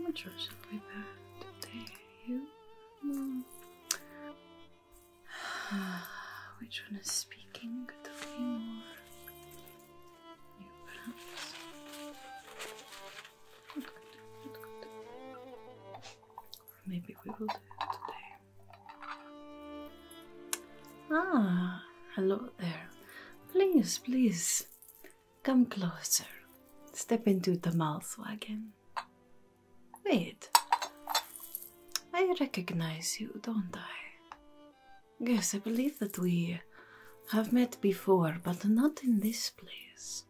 much or something like that. There you Which one is speaking? to or more perhaps? Good, maybe we will do it today. Ah, hello there. Please, please Come closer. Step into the Malswagen. Wait. I recognize you, don't I? Yes, I believe that we have met before, but not in this place.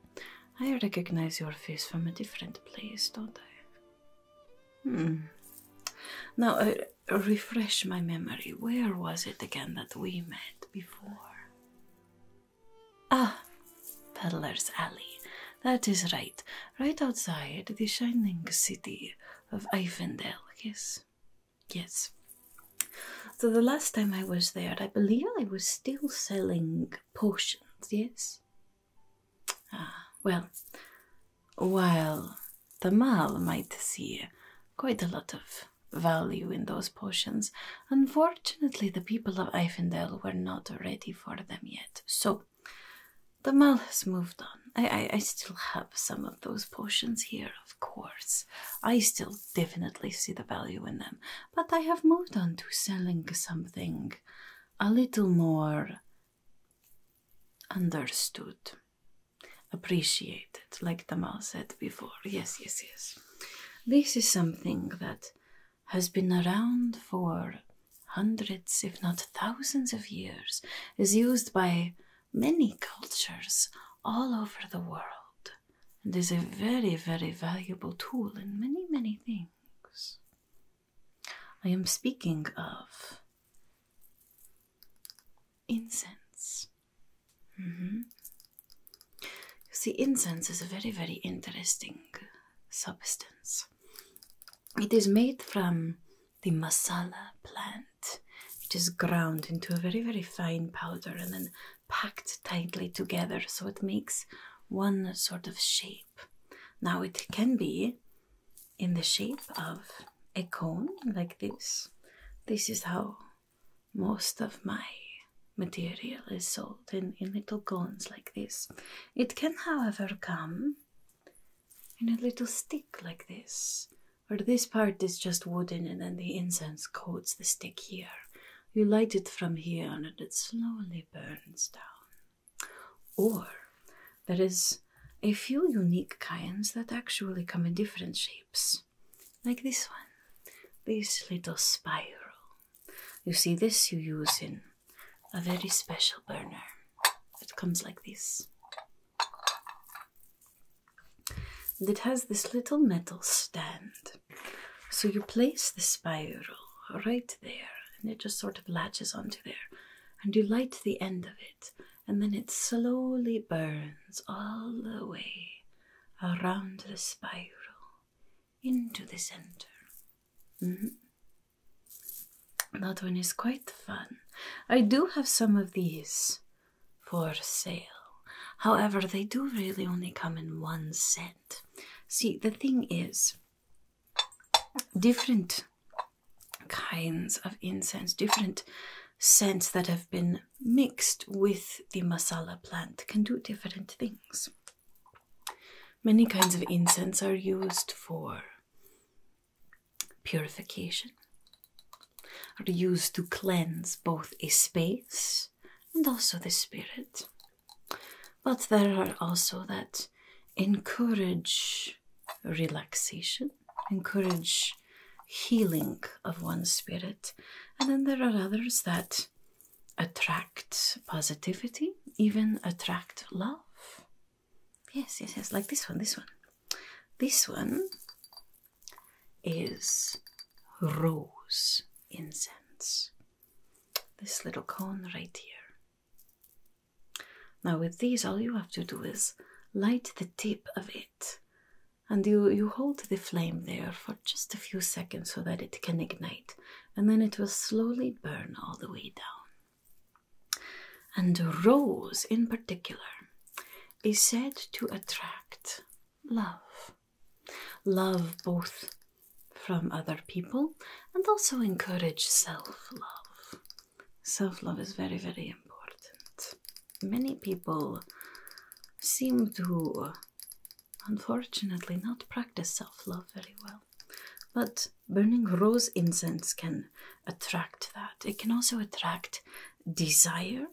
I recognize your face from a different place, don't I? Hmm. Now, uh, refresh my memory. Where was it again that we met before? Ah, Peddler's Alley. That is right. Right outside the shining city of Ivendale, yes. Yes. So the last time I was there, I believe I was still selling potions, yes? Ah, well, while Tamal might see quite a lot of value in those potions. Unfortunately, the people of Eifendel were not ready for them yet, so the mall has moved on. I, I, I still have some of those potions here, of course. I still definitely see the value in them, but I have moved on to selling something a little more understood, appreciated like Tamal said before. Yes, yes, yes. This is something that has been around for hundreds, if not thousands of years, is used by many cultures all over the world, and is a very, very valuable tool in many, many things. I am speaking of incense. Mm -hmm. You see, incense is a very, very interesting substance. It is made from the masala plant. It is ground into a very, very fine powder and then packed tightly together so it makes one sort of shape. Now, it can be in the shape of a cone like this. This is how most of my material is sold in, in little cones like this. It can, however, come in a little stick like this, where this part is just wooden and then the incense coats the stick here. You light it from here and it slowly burns down. Or there is a few unique kinds that actually come in different shapes like this one, this little spiral. You see, this you use in a very special burner. It comes like this. And it has this little metal stand. So you place the spiral right there, and it just sort of latches onto there. And you light the end of it, and then it slowly burns all the way around the spiral into the center. Mm-hmm. That one is quite fun. I do have some of these for sale. However, they do really only come in one scent. See, the thing is, different kinds of incense, different scents that have been mixed with the masala plant can do different things. Many kinds of incense are used for purification, are used to cleanse both a space and also the spirit. But there are also that encourage relaxation, encourage healing of one's spirit, and then there are others that attract positivity, even attract love. Yes, yes, yes, like this one, this one. This one is rose incense. This little cone right here. Now, with these, all you have to do is light the tip of it and you you hold the flame there for just a few seconds so that it can ignite and then it will slowly burn all the way down and rose in particular is said to attract love love both from other people and also encourage self-love self-love is very very important many people seem to, unfortunately, not practice self love very well. But burning rose incense can attract that. It can also attract desire.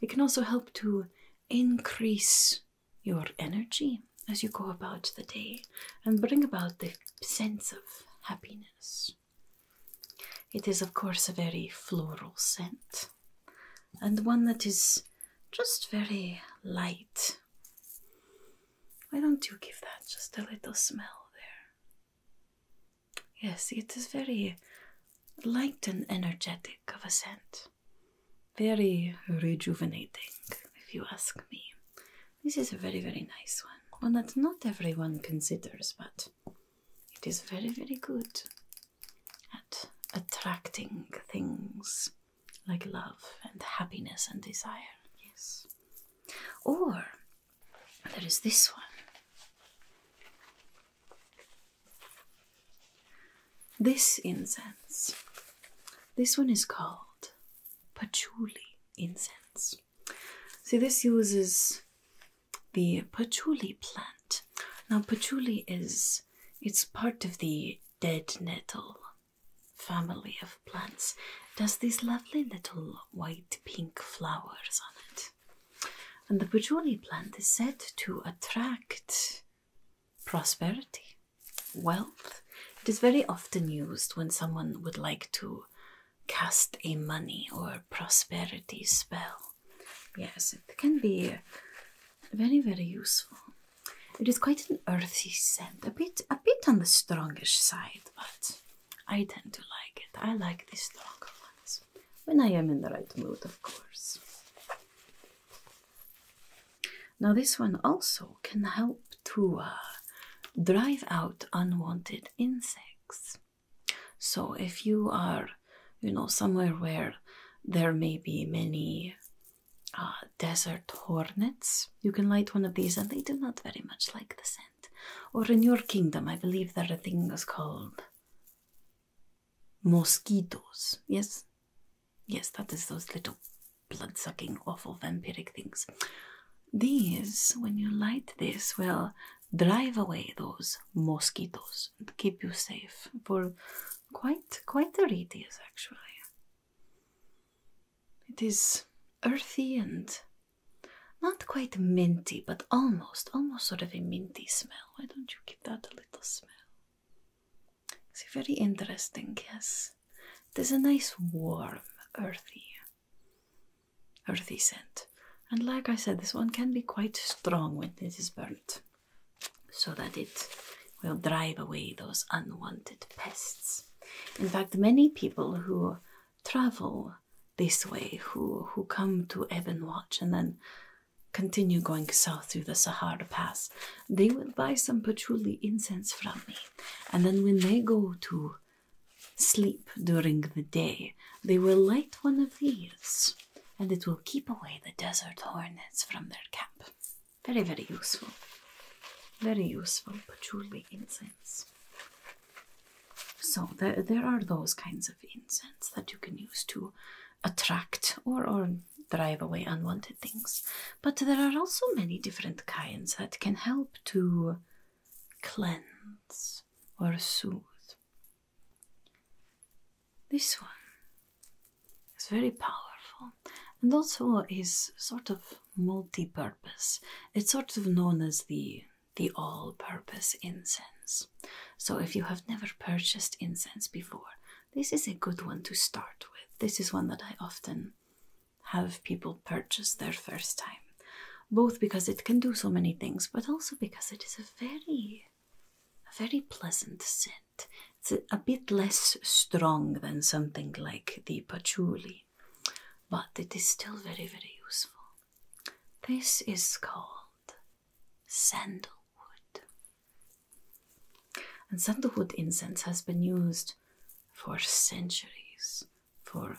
It can also help to increase your energy as you go about the day and bring about the sense of happiness. It is, of course, a very floral scent and one that is just very light. Why don't you give that just a little smell there? Yes, it is very light and energetic of a scent. Very rejuvenating, if you ask me. This is a very, very nice one. One that not everyone considers, but it is very, very good at attracting things like love and happiness and desire. Yes. Or there is this one. This incense. This one is called patchouli incense. So this uses the patchouli plant. Now, patchouli is it's part of the dead nettle family of plants. Does these lovely little white pink flowers on it. And the patchouli plant is said to attract prosperity, wealth. It is very often used when someone would like to cast a money or prosperity spell. Yes, it can be very, very useful. It is quite an earthy scent, a bit, a bit on the strongish side, but I tend to like it. I like the stronger ones when I am in the right mood, of course. Now, this one also can help to uh, drive out unwanted insects. So, if you are you know, somewhere where there may be many uh, desert hornets. You can light one of these, and they do not very much like the scent. Or in your kingdom, I believe there are things called mosquitoes. Yes? Yes, that is those little blood sucking, awful vampiric things. These, when you light this, will drive away those mosquitoes and keep you safe for Quite, quite a radius, actually. It is earthy and not quite minty, but almost, almost sort of a minty smell. Why don't you give that a little smell? It's very interesting, yes. There's a nice warm, earthy, earthy scent. And like I said, this one can be quite strong when it is burnt so that it will drive away those unwanted pests. In fact, many people who travel this way, who, who come to Ebon Watch and then continue going south through the Sahara Pass, they will buy some patchouli incense from me. And then when they go to sleep during the day, they will light one of these and it will keep away the desert hornets from their camp. Very, very useful. Very useful patchouli incense. So there, there are those kinds of incense that you can use to attract or, or drive away unwanted things. But there are also many different kinds that can help to cleanse or soothe this one is very powerful and also is sort of multi-purpose. It's sort of known as the the all-purpose incense. So if you have never purchased incense before, this is a good one to start with. This is one that I often have people purchase their first time, both because it can do so many things, but also because it is a very, a very pleasant scent. It's a bit less strong than something like the patchouli, but it is still very, very useful. This is called sandalwood. And sandalwood incense has been used for centuries, for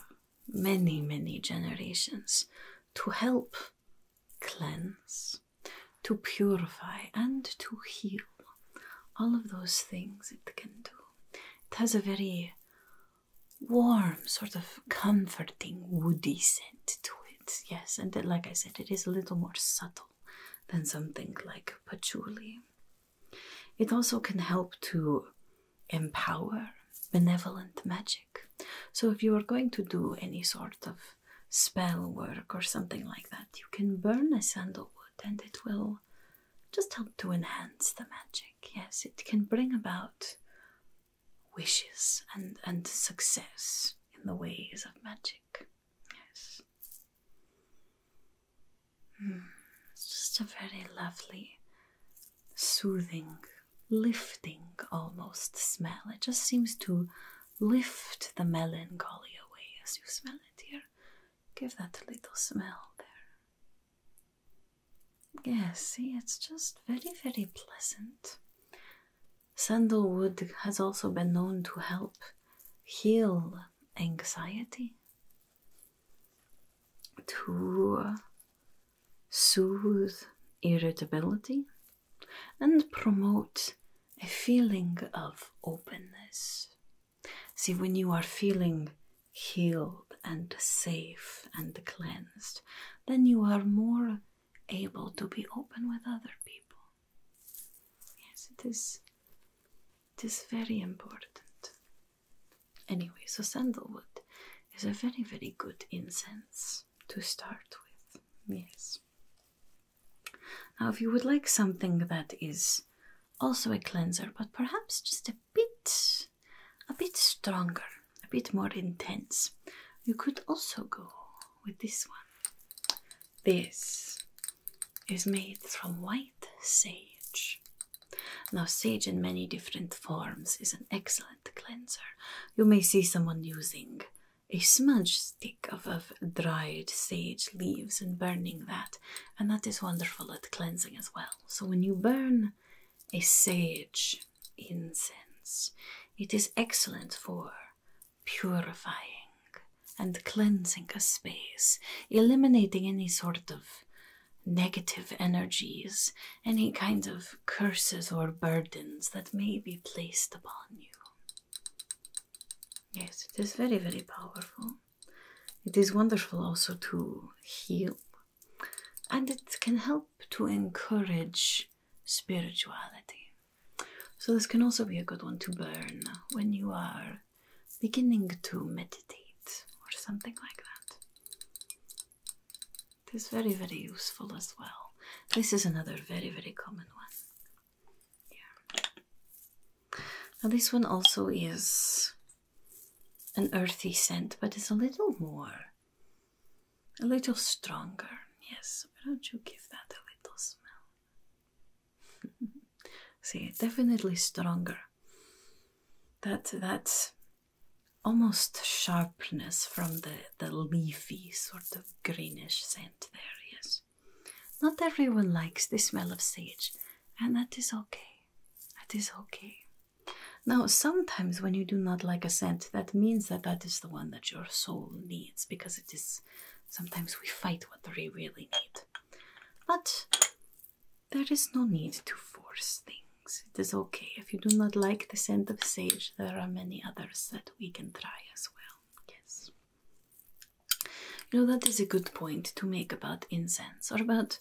many, many generations, to help cleanse, to purify and to heal. All of those things it can do. It has a very warm, sort of comforting, woody scent to it. Yes, and like I said, it is a little more subtle than something like patchouli. It also can help to empower benevolent magic. So, if you are going to do any sort of spell work or something like that, you can burn a sandalwood and it will just help to enhance the magic. Yes, it can bring about wishes and, and success in the ways of magic. Yes. it's hmm. just a very lovely, soothing, lifting almost smell. It just seems to lift the melancholy away as you smell it here. Give that little smell there. Yes, see, it's just very, very pleasant. Sandalwood has also been known to help heal anxiety, to soothe irritability, and promote a feeling of openness. See, when you are feeling healed and safe and cleansed, then you are more able to be open with other people. Yes, it is, it is very important. Anyway, so sandalwood is a very, very good incense to start with. Yes. Now, if you would like something that is also a cleanser, but perhaps just a bit, a bit stronger, a bit more intense, you could also go with this one. This is made from white sage. Now, sage in many different forms is an excellent cleanser. You may see someone using a smudge stick of, dried sage leaves and burning that. And that is wonderful at cleansing as well. So when you burn a sage incense, it is excellent for purifying and cleansing a space, eliminating any sort of negative energies, any kind of curses or burdens that may be placed upon you. Yes, it is very, very powerful. It is wonderful also to heal, and it can help to encourage spirituality. So, this can also be a good one to burn when you are beginning to meditate or something like that. It is very, very useful as well. This is another very, very common one. Yeah. Now this one also is an earthy scent, but it's a little more, a little stronger. Yes, why don't you give that a little smell? See, definitely stronger. That that almost sharpness from the the leafy sort of greenish scent scent yes. Not everyone likes the smell of sage, and that is okay. That is okay. Now, sometimes when you do not like a scent, that means that that is the one that your soul needs because it is sometimes we fight what we really need. But there is no need to force things. It is okay. If you do not like the scent of sage, there are many others that we can try as well yes. You know, that is a good point to make about incense or about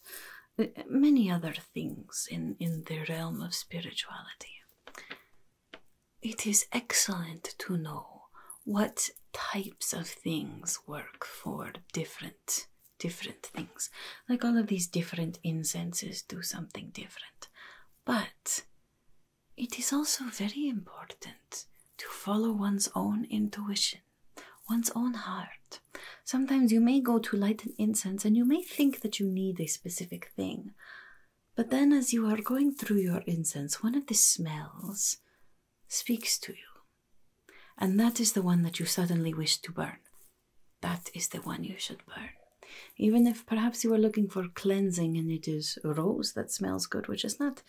uh, many other things in, in the realm of spirituality. It is excellent to know what types of things work for different different things. Like all of these different incenses do something different. But it is also very important to follow one's own intuition, one's own heart. Sometimes you may go to light an incense and you may think that you need a specific thing. But then, as you are going through your incense, one of the smells speaks to you. And that is the one that you suddenly wish to burn. That is the one you should burn. Even if perhaps you are looking for cleansing and it is rose that smells good, which is not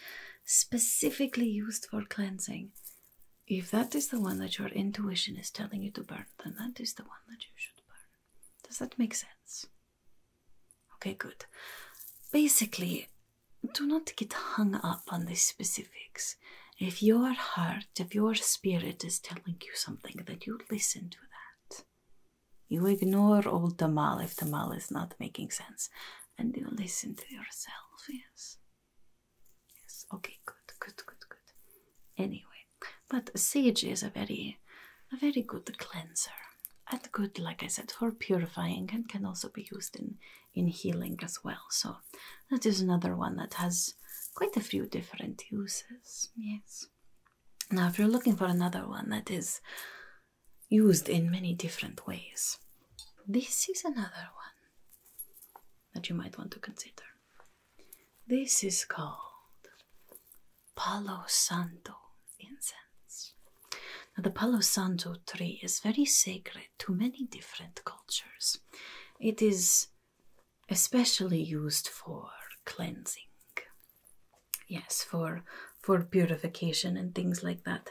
specifically used for cleansing, if that is the one that your intuition is telling you to burn, then that is the one that you should burn. Does that make sense? Okay, good. Basically, do not get hung up on the specifics. If your heart, if your spirit is telling you something, that you listen to that. You ignore old Tamil if Tamil is not making sense. And you listen to yourself, yes. Yes, okay, good, good, good, good. Anyway, but sage is a very, a very good cleanser. And good, like I said, for purifying and can also be used in, in healing as well. So that is another one that has quite a few different uses, yes. Now, if you're looking for another one that is used in many different ways. This is another one that you might want to consider. This is called Palo Santo incense. Now, the Palo Santo tree is very sacred to many different cultures. It is especially used for cleansing Yes, for for purification and things like that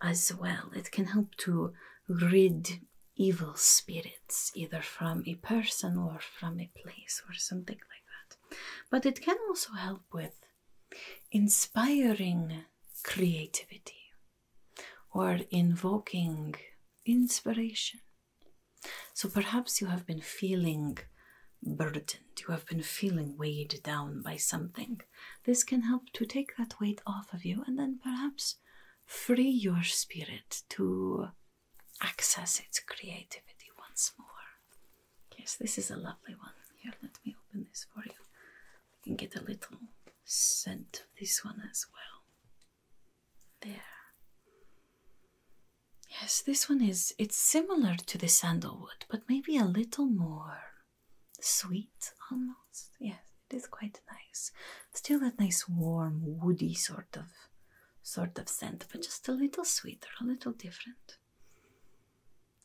as well. It can help to rid evil spirits either from a person or from a place or something like that. But it can also help with inspiring creativity or invoking inspiration. So perhaps you have been feeling burdened, you have been feeling weighed down by something. This can help to take that weight off of you and then perhaps free your spirit to access its creativity once more. Yes, this is a lovely one. Here, let me open this for you. You can get a little scent of this one as well. There. Yes, this one is, it's similar to the sandalwood, but maybe a little more sweet almost. Yes, it is quite nice. Still that nice warm, woody sort of sort of scent, but just a little sweeter, a little different.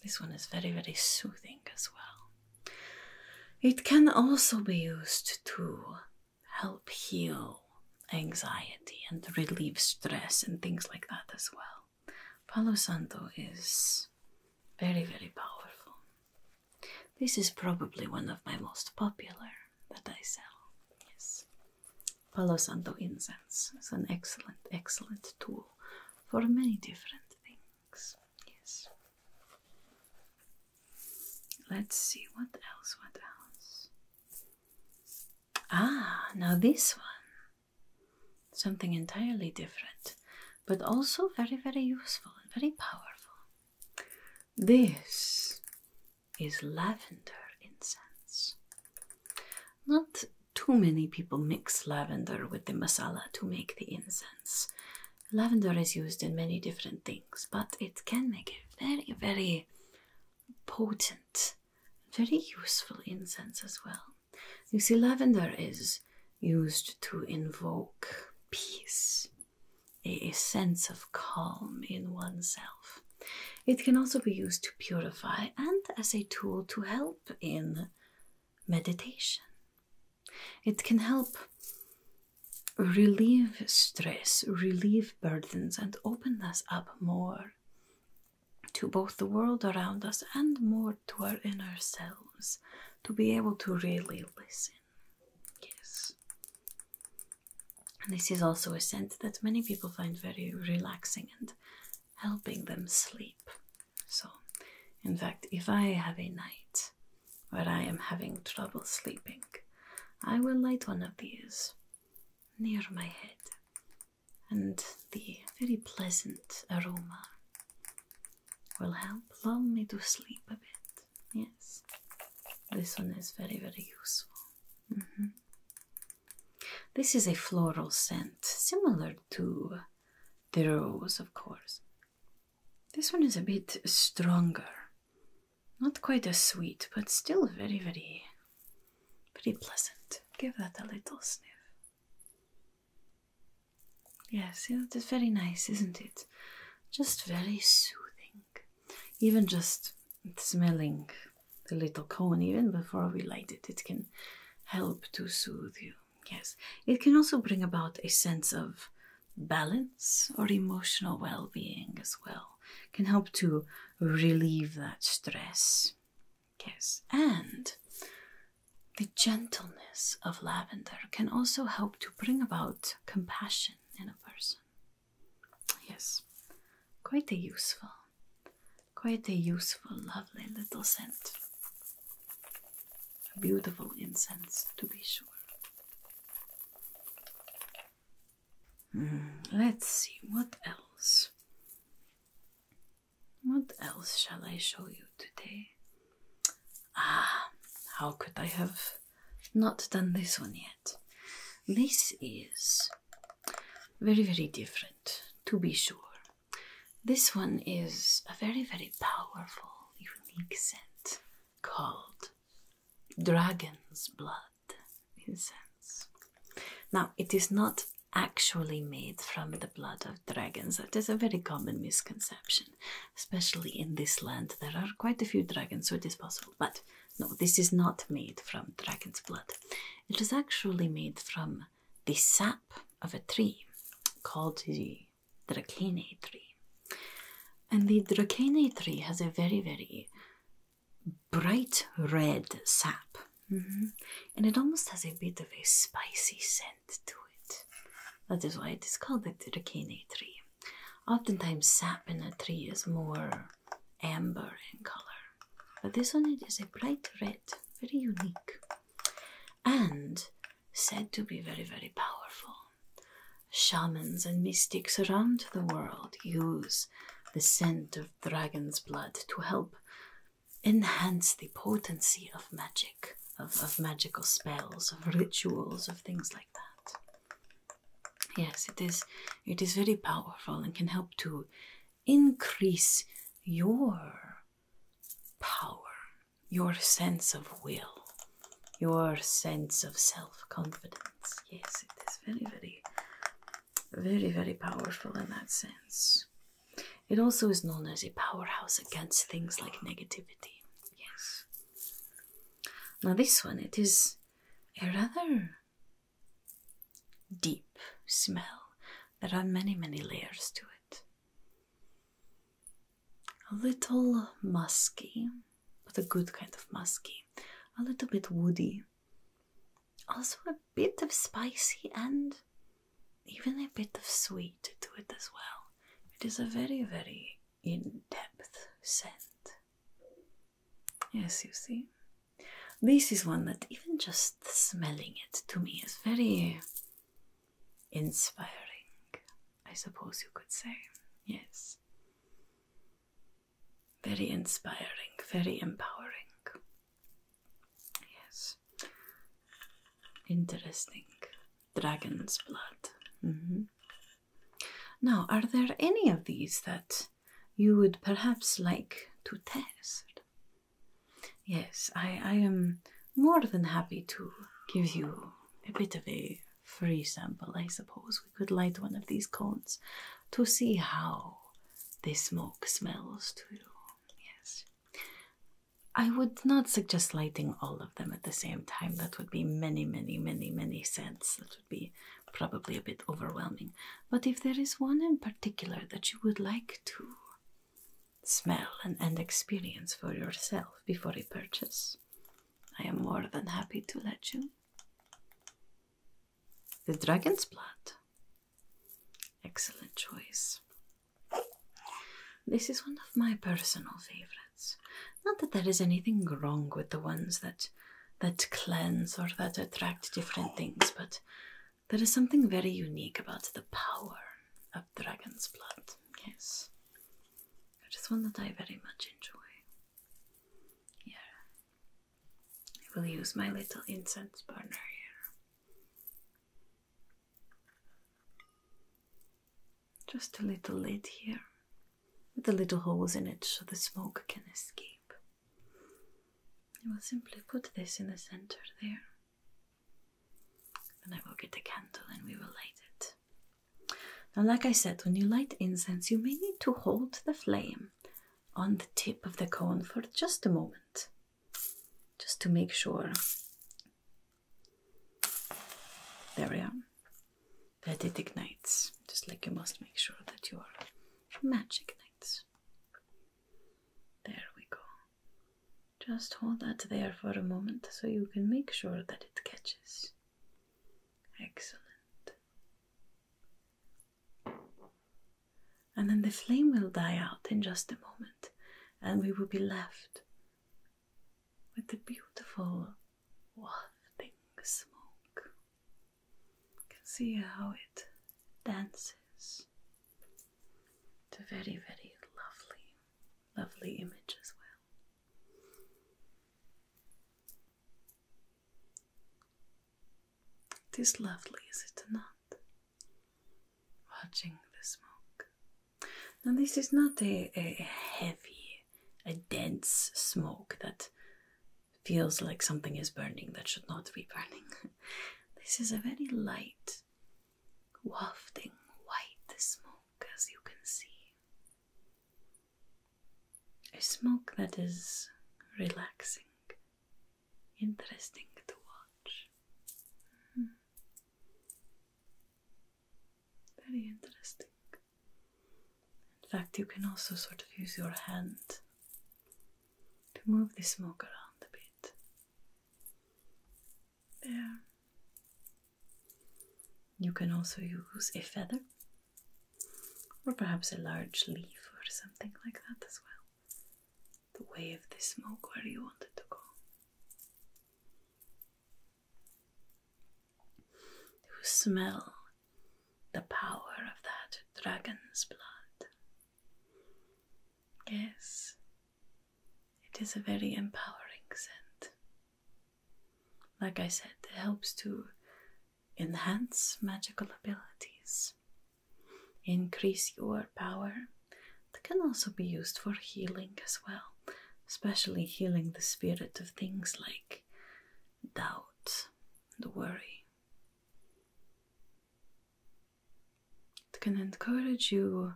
This one is very, very soothing as well. It can also be used to help heal anxiety and relieve stress and things like that as well. Palosanto is very, very powerful. This is probably one of my most popular that I sell. Yes. Palosanto incense is an excellent, excellent tool for many different things. Yes. Let's see what else, what else. Ah, now this one. Something entirely different, but also very, very useful and very powerful. This is lavender incense. Not too many people mix lavender with the masala to make the incense. Lavender is used in many different things, but it can make it very, very potent, very useful incense as well. You see, lavender is used to invoke peace, a, sense of calm in oneself. It can also be used to purify and as a tool to help in meditation. It can help relieve stress, relieve burdens, and open us up more to both the world around us and more to our inner selves to be able to really listen. Yes. And this is also a scent that many people find very relaxing and helping them sleep. So, in fact, if I have a night where I am having trouble sleeping, I will light one of these near my head and the very pleasant aroma will help lull me to sleep a bit. Yes, this one is very, very useful. Mm-hmm. This is a floral scent, similar to the rose, of course. This one is a bit stronger. Not quite as sweet, but still very, very Pretty pleasant. Give that a little sniff. Yes, it is very nice, isn't it? Just very soothing. Even just smelling the little cone, even before we light it, it can help to soothe you. Yes, it can also bring about a sense of balance or emotional well being as well. can help to relieve that stress. Yes, and the gentleness of lavender can also help to bring about compassion in a person. Yes, quite a useful, quite a useful, lovely little scent. A beautiful incense, to be sure. Hmm, let's see what else. What else shall I show you today? Ah, how could I have not done this one yet? This is very, very different, to be sure. This one is a very, very powerful, unique scent called Dragon's Blood incense. Now, it is not actually made from the blood of dragons. That is a very common misconception, especially in this land. There are quite a few dragons, so it is possible. But no, this is not made from dragon's blood. It is actually made from the sap of a tree called the Dracaenae tree. And the Dracaenae tree has a very, very bright red sap Mm-hmm. And it almost has a bit of a spicy scent to it. That is why it is called the Dracaena tree. Oftentimes, sap in a tree is more amber in color, but this one is a bright red, very unique, and said to be very, very powerful. Shamans and mystics around the world use the scent of dragon's blood to help enhance the potency of magic, of, of magical spells, of rituals, of things like that. Yes, it is it is very powerful and can help to increase your power, your sense of will, your sense of self confidence. Yes, it is very, very very, very powerful in that sense. It also is known as a powerhouse against things like negativity. Yes. Now, this one, it is a rather deep smell. There are many, many layers to it. A little musky, but a good kind of musky. A little bit woody, also a bit of spicy and even a bit of sweet to it as well. It is a very, very in depth scent. Yes, you see. This is one that even just smelling it to me is very inspiring, I suppose you could say. Yes. Very inspiring, very empowering. Yes. Interesting. Dragon's blood. Mm-hmm. Now, are there any of these that you would perhaps like to test? Yes, I, I am more than happy to give you a bit of a free sample, I suppose. We could light one of these cones to see how the smoke smells too. Yes. I would not suggest lighting all of them at the same time. That would be many, many, many, many scents. That would be probably a bit overwhelming. But if there is one in particular that you would like to smell and, experience for yourself before a purchase, I am more than happy to let you. The dragon's blood. Excellent choice. This is one of my personal favorites. Not that there is anything wrong with the ones that that cleanse or that attract different things, but there is something very unique about the power of dragon's blood. Yes. It is one that I very much enjoy. Yeah. I will use my little incense burner here. Just a little lid here with the little holes in it so the smoke can escape. I will simply put this in the center there. Then I will get the candle and we will light it. Now, like I said, when you light incense, you may need to hold the flame on the tip of the cone for just a moment just to make sure there we are that it ignites just like you must make sure that your match ignites there we go just hold that there for a moment so you can make sure that it catches excellent and then the flame will die out in just a moment, and we will be left with the beautiful wafting smoke. You can see how it dances. It's a very, very lovely, lovely image as well. It is lovely, is it not? watching the smoke. Now, this is not a, heavy, a dense smoke that feels like something is burning that should not be burning. this is a very light, wafting white smoke, as you can see. A smoke that is relaxing interesting to watch. Hmm. Very interesting. In fact, you can also sort of use your hand to move the smoke around a bit. There. You can also use a feather or perhaps a large leaf or something like that as well the way of the smoke where you wanted to go. You smell the power of that dragon's blood. Yes, it is a very empowering scent. Like I said, it helps to enhance magical abilities increase your power. That can also be used for healing as well, especially healing the spirit of things like doubt and worry. It can encourage you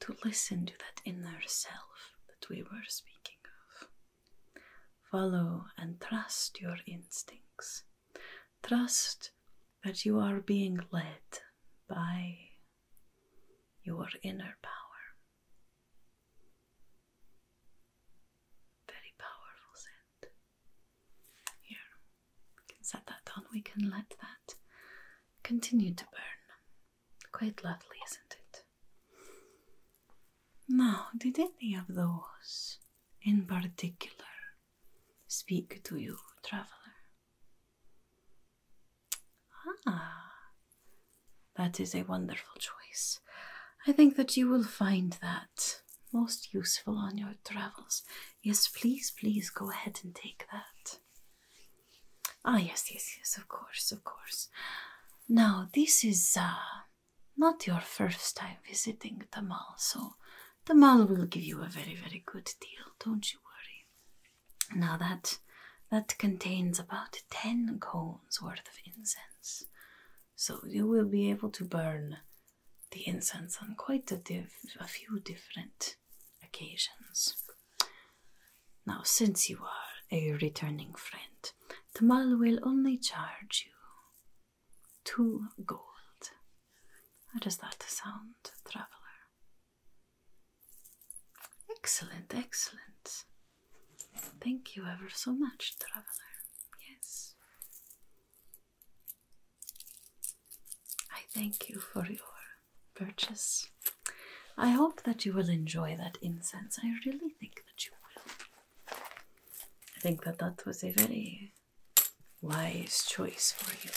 to listen to that inner self that we were speaking of. Follow and trust your instincts. Trust that you are being led by your inner power. Very powerful scent. Here, we can set that on. We can let that continue to burn. Quite lovely, isn't it? Now, did any of those in particular speak to you, traveler. Ah, that is a wonderful choice. I think that you will find that most useful on your travels. Yes, please, please go ahead and take that. Ah, yes, yes, yes, of course, of course. Now, this is uh, not your first time visiting Tamal, so the mall will give you a very, very good deal, don't you worry. Now that that contains about ten cones worth of incense. So you will be able to burn the incense on quite a, few different occasions. Now, since you are a returning friend, the mall will only charge you to gold. How does that sound, traveler? Excellent, excellent. Thank you ever so much, traveler. Yes. I thank you for your purchase. I hope that you will enjoy that incense. I really think that you will. I think that that was a very wise choice for you.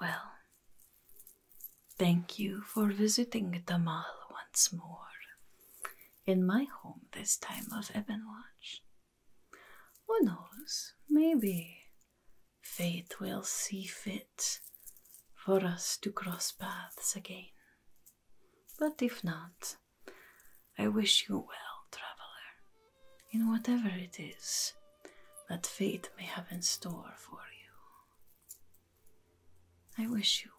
Well, thank you for visiting Tamal once more in my home this time of Ebon Watch. Who knows, maybe fate will see fit for us to cross paths again. But if not, I wish you well, traveler, in whatever it is that fate may have in store for you. I wish you well.